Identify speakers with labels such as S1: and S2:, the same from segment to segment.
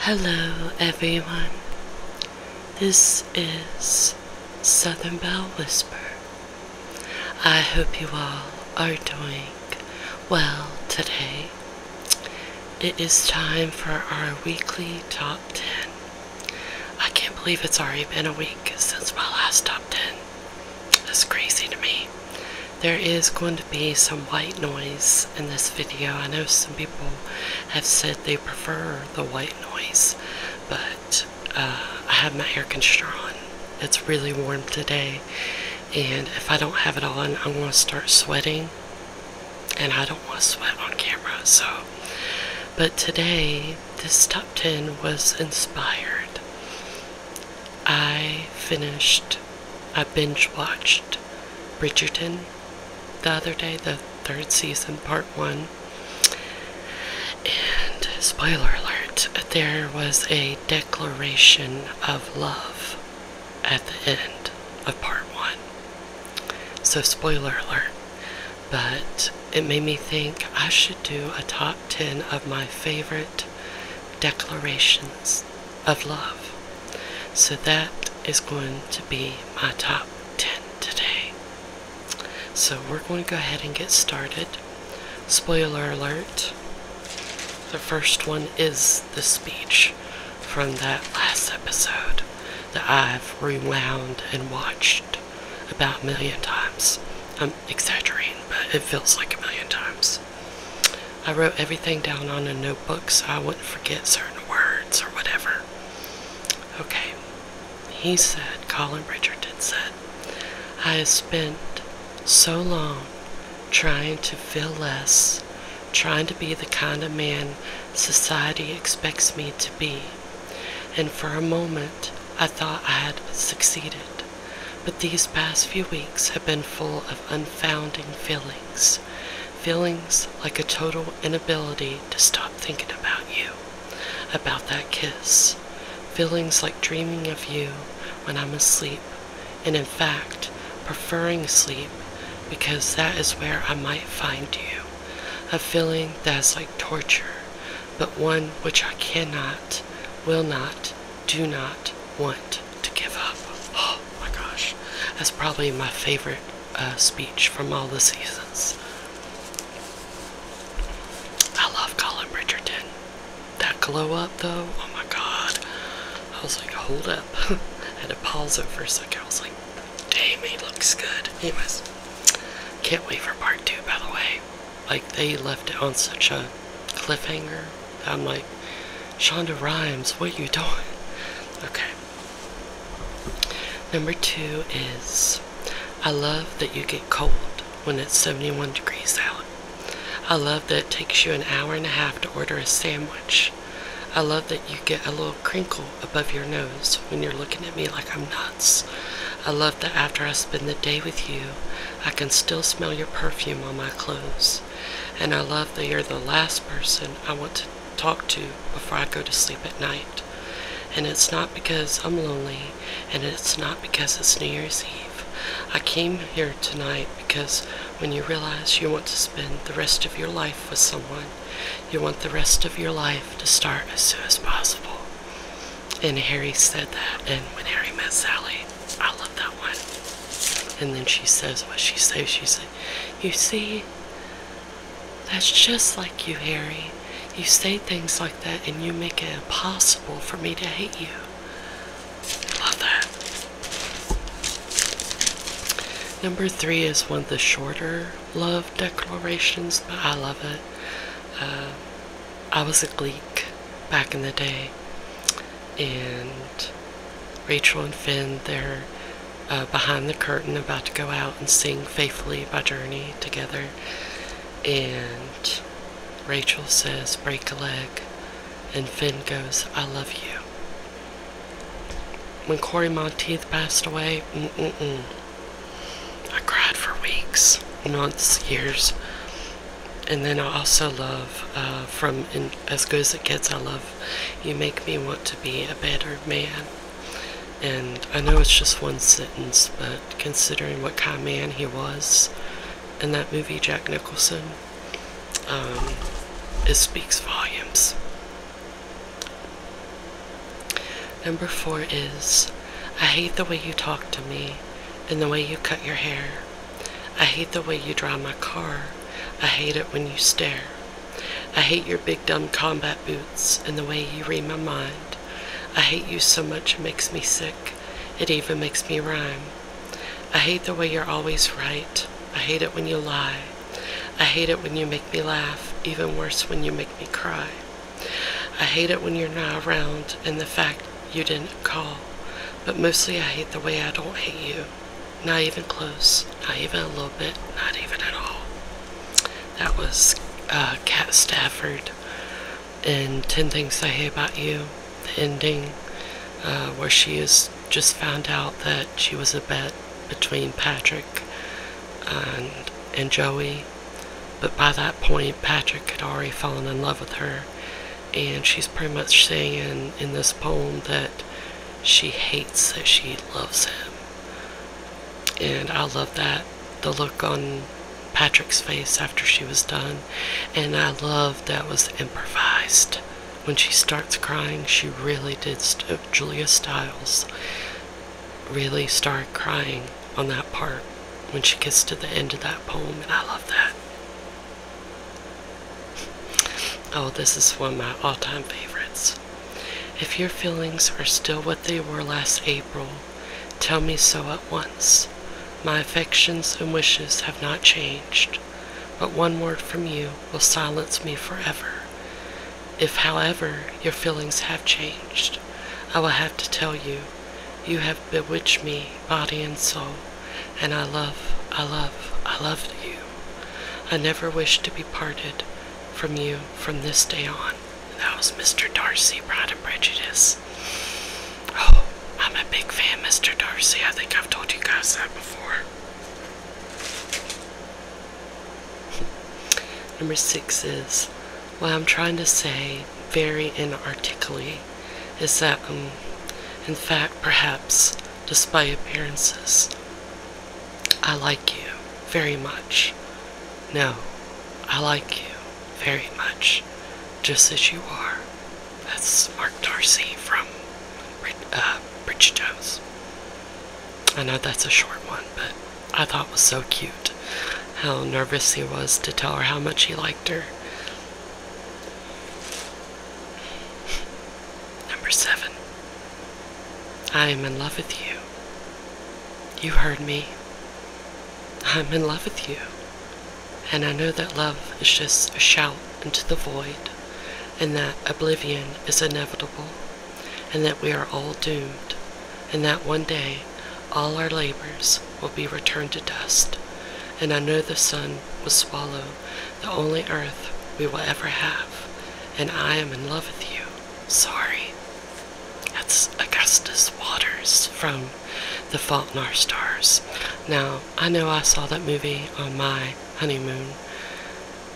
S1: Hello, everyone. This is Southern Bell Whisper. I hope you all are doing well today. It is time for our weekly top 10. I can't believe it's already been a week since my last top 10. That's crazy to me. There is going to be some white noise in this video. I know some people have said they prefer the white noise, but uh, I have my hair conditioner on. It's really warm today, and if I don't have it on, I'm going to start sweating, and I don't want to sweat on camera, so. But today, this top 10 was inspired. I finished I binge watched Bridgerton the other day, the third season, part one. And spoiler alert, there was a declaration of love at the end of part one. So, spoiler alert. But it made me think I should do a top 10 of my favorite declarations of love. So that is going to be my top 10 today. So we're going to go ahead and get started. Spoiler alert. The first one is the speech from that last episode that I've rewound and watched about a million times. I'm exaggerating, but it feels like a million times. I wrote everything down on a notebook so I wouldn't forget certain words or whatever. Okay, he said, Colin Richardson said, I have spent so long trying to feel less, trying to be the kind of man society expects me to be. And for a moment, I thought I had succeeded. But these past few weeks have been full of unfounding feelings feelings like a total inability to stop thinking about you, about that kiss, feelings like dreaming of you when I'm asleep, and in fact, preferring sleep because that is where I might find you, a feeling that is like torture, but one which I cannot, will not, do not want to give up. Oh my gosh, that's probably my favorite uh, speech from all the seasons. I love Colin Richardson. That glow up though, oh my god. I was like, hold up. had to pause it for a second. I was like, damn, he looks good. Anyways, can't wait for part two, by the way. Like, they left it on such a cliffhanger. I'm like, Shonda Rhimes, what you doing? Okay. Number two is I love that you get cold when it's 71 degrees out. I love that it takes you an hour and a half to order a sandwich. I love that you get a little crinkle above your nose when you're looking at me like I'm nuts. I love that after I spend the day with you, I can still smell your perfume on my clothes. And I love that you're the last person I want to talk to before I go to sleep at night. And it's not because I'm lonely, and it's not because it's New Year's Eve. I came here tonight because when you realize you want to spend the rest of your life with someone, you want the rest of your life to start as soon as possible. And Harry said that, and when Harry met Sally, I love that one. And then she says what she says. She says, you see, that's just like you, Harry. You say things like that and you make it impossible for me to hate you. I Love that. Number three is one of the shorter love declarations, but I love it. Uh, I was a Gleek back in the day and Rachel and Finn, they're uh, behind the curtain about to go out and sing Faithfully by Journey together. And Rachel says, Break a leg. And Finn goes, I love you. When Cory Monteith passed away, I cried for weeks, months, years. And then I also love uh, from as good as it gets. I love you. Make me want to be a better man. And I know it's just one sentence, but considering what kind of man he was in that movie, Jack Nicholson, um, it speaks volumes. Number four is I hate the way you talk to me and the way you cut your hair. I hate the way you drive my car. I hate it when you stare. I hate your big dumb combat boots and the way you read my mind. I hate you so much it makes me sick. It even makes me rhyme. I hate the way you're always right. I hate it when you lie. I hate it when you make me laugh, even worse when you make me cry. I hate it when you're not around and the fact you didn't call. But mostly I hate the way I don't hate you. Not even close. Not even a little bit. Not even at all. That was uh, Cat Stafford in 10 Things I Hate About You, the ending, uh, where she has just found out that she was a bet between Patrick and, and Joey. But by that point, Patrick had already fallen in love with her, and she's pretty much saying in this poem that she hates that she loves him. And I love that. The look on Patrick's face after she was done. And I love that was improvised. When she starts crying, she really did. Julia Stiles really started crying on that part when she gets to the end of that poem, and I love that. Oh, this is one of my all time favorites. If your feelings are still what they were last April, tell me so at once. My affections and wishes have not changed, but one word from you will silence me forever. If, however, your feelings have changed, I will have to tell you, you have bewitched me, body and soul and I love, I love, I loved you. I never wish to be parted from you from this day on. That was Mr. Darcy, Pride and Prejudice. Oh, I'm a big fan, Mr. Darcy. I think I've told you guys that before. Number six is what I'm trying to say very inarticulately is that, um, in fact, perhaps despite appearances. I like you very much. No, I like you very much, just as you are. That's Mark Darcy from uh, Jones. I know that's a short one, but I thought was so cute how nervous he was to tell her how much he liked her. Number seven, I am in love with you. You heard me. I'm in love with you. And I know that love is just a shout into the void, and that oblivion is inevitable, and that we are all doomed, and that one day all our labors will be returned to dust. And I know the sun will swallow the only earth we will ever have, and I am in love with you. Sorry. That's Augustus Waters from The Fault in Our Stars. Now, I know I saw that movie on my honeymoon,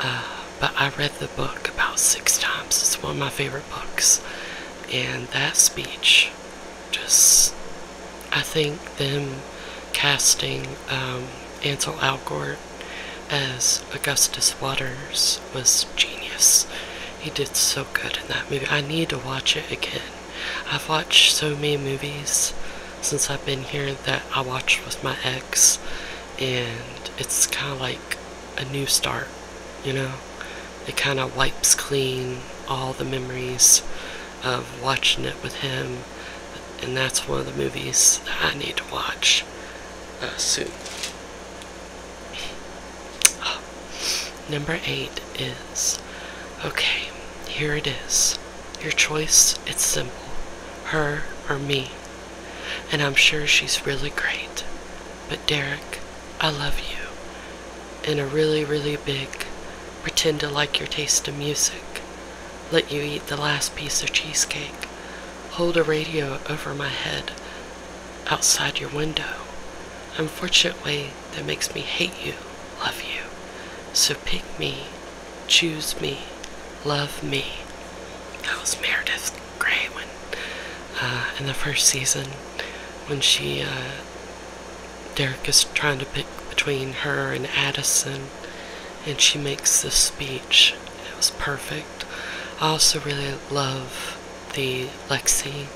S1: uh, but I read the book about six times. It's one of my favorite books. And that speech just I think them casting um, Ansel Algort as Augustus Waters was genius. He did so good in that movie. I need to watch it again. I've watched so many movies since I've been here that I watched with my ex, and it's kind of like a new start, you know? It kind of wipes clean all the memories of watching it with him, and that's one of the movies I need to watch uh, soon. Number eight is okay, here it is. Your choice, it's simple her or me. And I'm sure she's really great. But Derek, I love you. In a really, really big, pretend to like your taste in music let you eat the last piece of cheesecake, hold a radio over my head outside your window. Unfortunate way that makes me hate you, love you. So pick me, choose me, love me. That was Meredith Grey when, uh, in the first season when she uh, Derek is trying to pick between her and Addison, and she makes this speech. It was perfect. I also really love the Lexi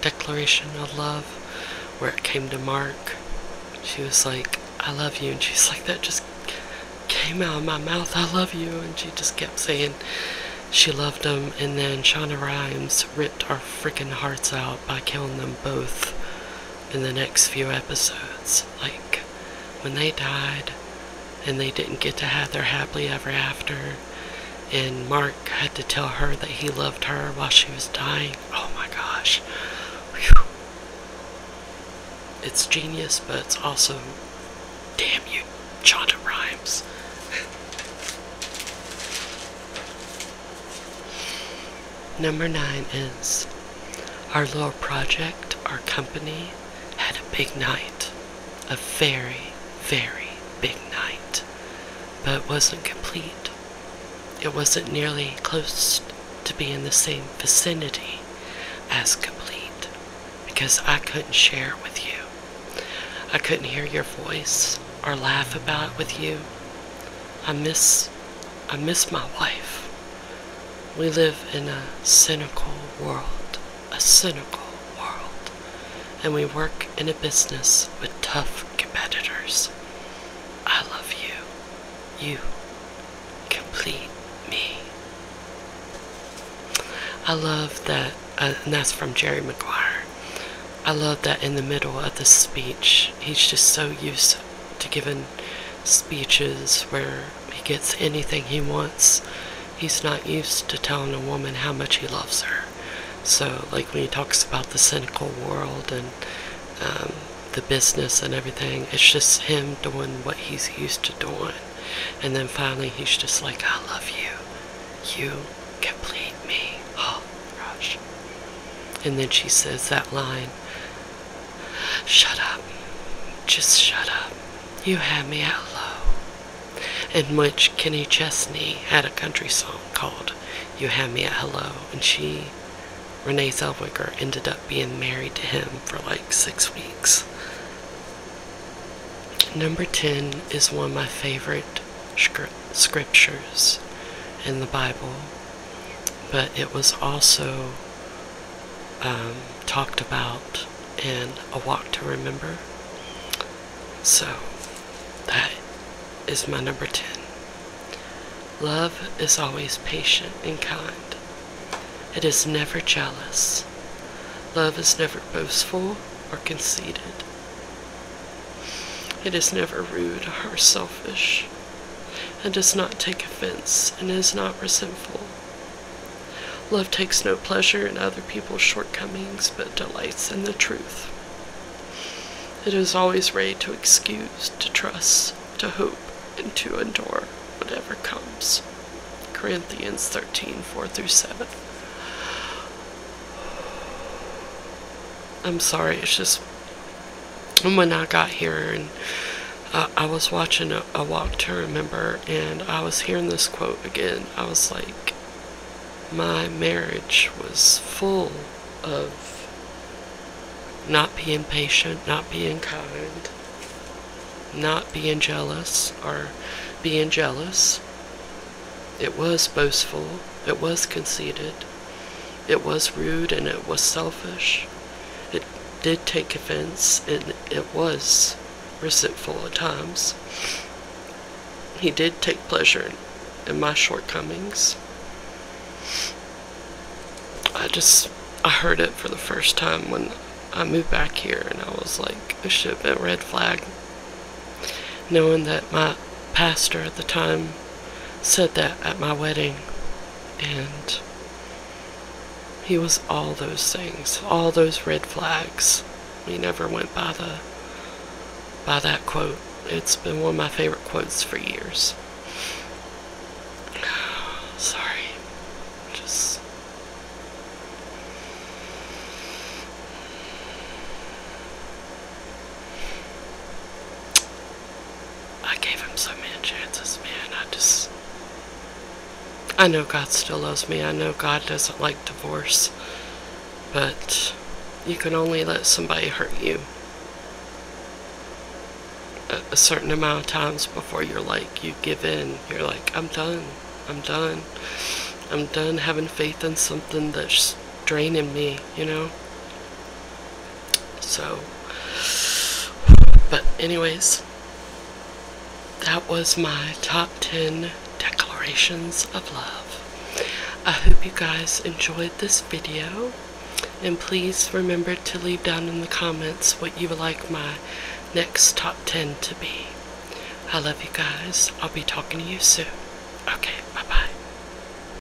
S1: declaration of love where it came to Mark. She was like, I love you. And she's like, that just came out of my mouth. I love you. And she just kept saying she loved him. And then Shauna Rhimes ripped our freaking hearts out by killing them both in the next few episodes. Like when they died and they didn't get to have their happily ever after, and Mark had to tell her that he loved her while she was dying. Oh my gosh. Whew. It's genius, but it's also damn you, Chonda rhymes. Number nine is our little project, our company had a big night. A very, very big night. But it wasn't complete. It wasn't nearly close to be in the same vicinity as complete because I couldn't share it with you. I couldn't hear your voice or laugh about it with you. I miss I miss my wife. We live in a cynical world, a cynical world, and we work in a business with tough competitors. I love you. You complete me. I love that, uh, and that's from Jerry Maguire. I love that in the middle of the speech, he's just so used to giving speeches where he gets anything he wants. He's not used to telling a woman how much he loves her. So, like when he talks about the cynical world and um, the business and everything, it's just him doing what he's used to doing. And then finally, he's just like, I love you. You complete me. Oh, rush. And then she says that line Shut up. Just shut up. You had me at hello. In which Kenny Chesney had a country song called You Had Me at Hello. And she, Renee Zellweger, ended up being married to him for like six weeks. Number 10 is one of my favorite scriptures in the Bible but it was also um, talked about in A Walk to Remember. So that is my number 10. Love is always patient and kind. It is never jealous. Love is never boastful or conceited. It is never rude or selfish and does not take offense and is not resentful. Love takes no pleasure in other people's shortcomings but delights in the truth. It is always ready to excuse, to trust, to hope, and to endure whatever comes. Corinthians thirteen four through 7. I'm sorry, it's just and when I got here, and uh, I was watching a Walk to Remember, and I was hearing this quote again, I was like, my marriage was full of not being patient, not being kind, not being jealous, or being jealous. It was boastful, it was conceited, it was rude and it was selfish. It did take offense and it was resentful at times. He did take pleasure in my shortcomings. I just, I heard it for the first time when I moved back here and I was like, it should have a red flag. Knowing that my pastor at the time said that at my wedding. And he was all those things, all those red flags. We never went by the by that quote. It's been one of my favorite quotes for years. Sorry. Just I gave him so many chances, man. I just. I know God still loves me. I know God doesn't like divorce. But you can only let somebody hurt you a, certain amount of times before you're like, you give in. You're like, I'm done. I'm done. I'm done having faith in something that's draining me, you know? So, but anyways, that was my top 10 declarations of love. I hope you guys enjoyed this video. And please remember to leave down in the comments what you would like my next top 10 to be. I love you guys. I'll be talking to you soon. Okay, bye-bye.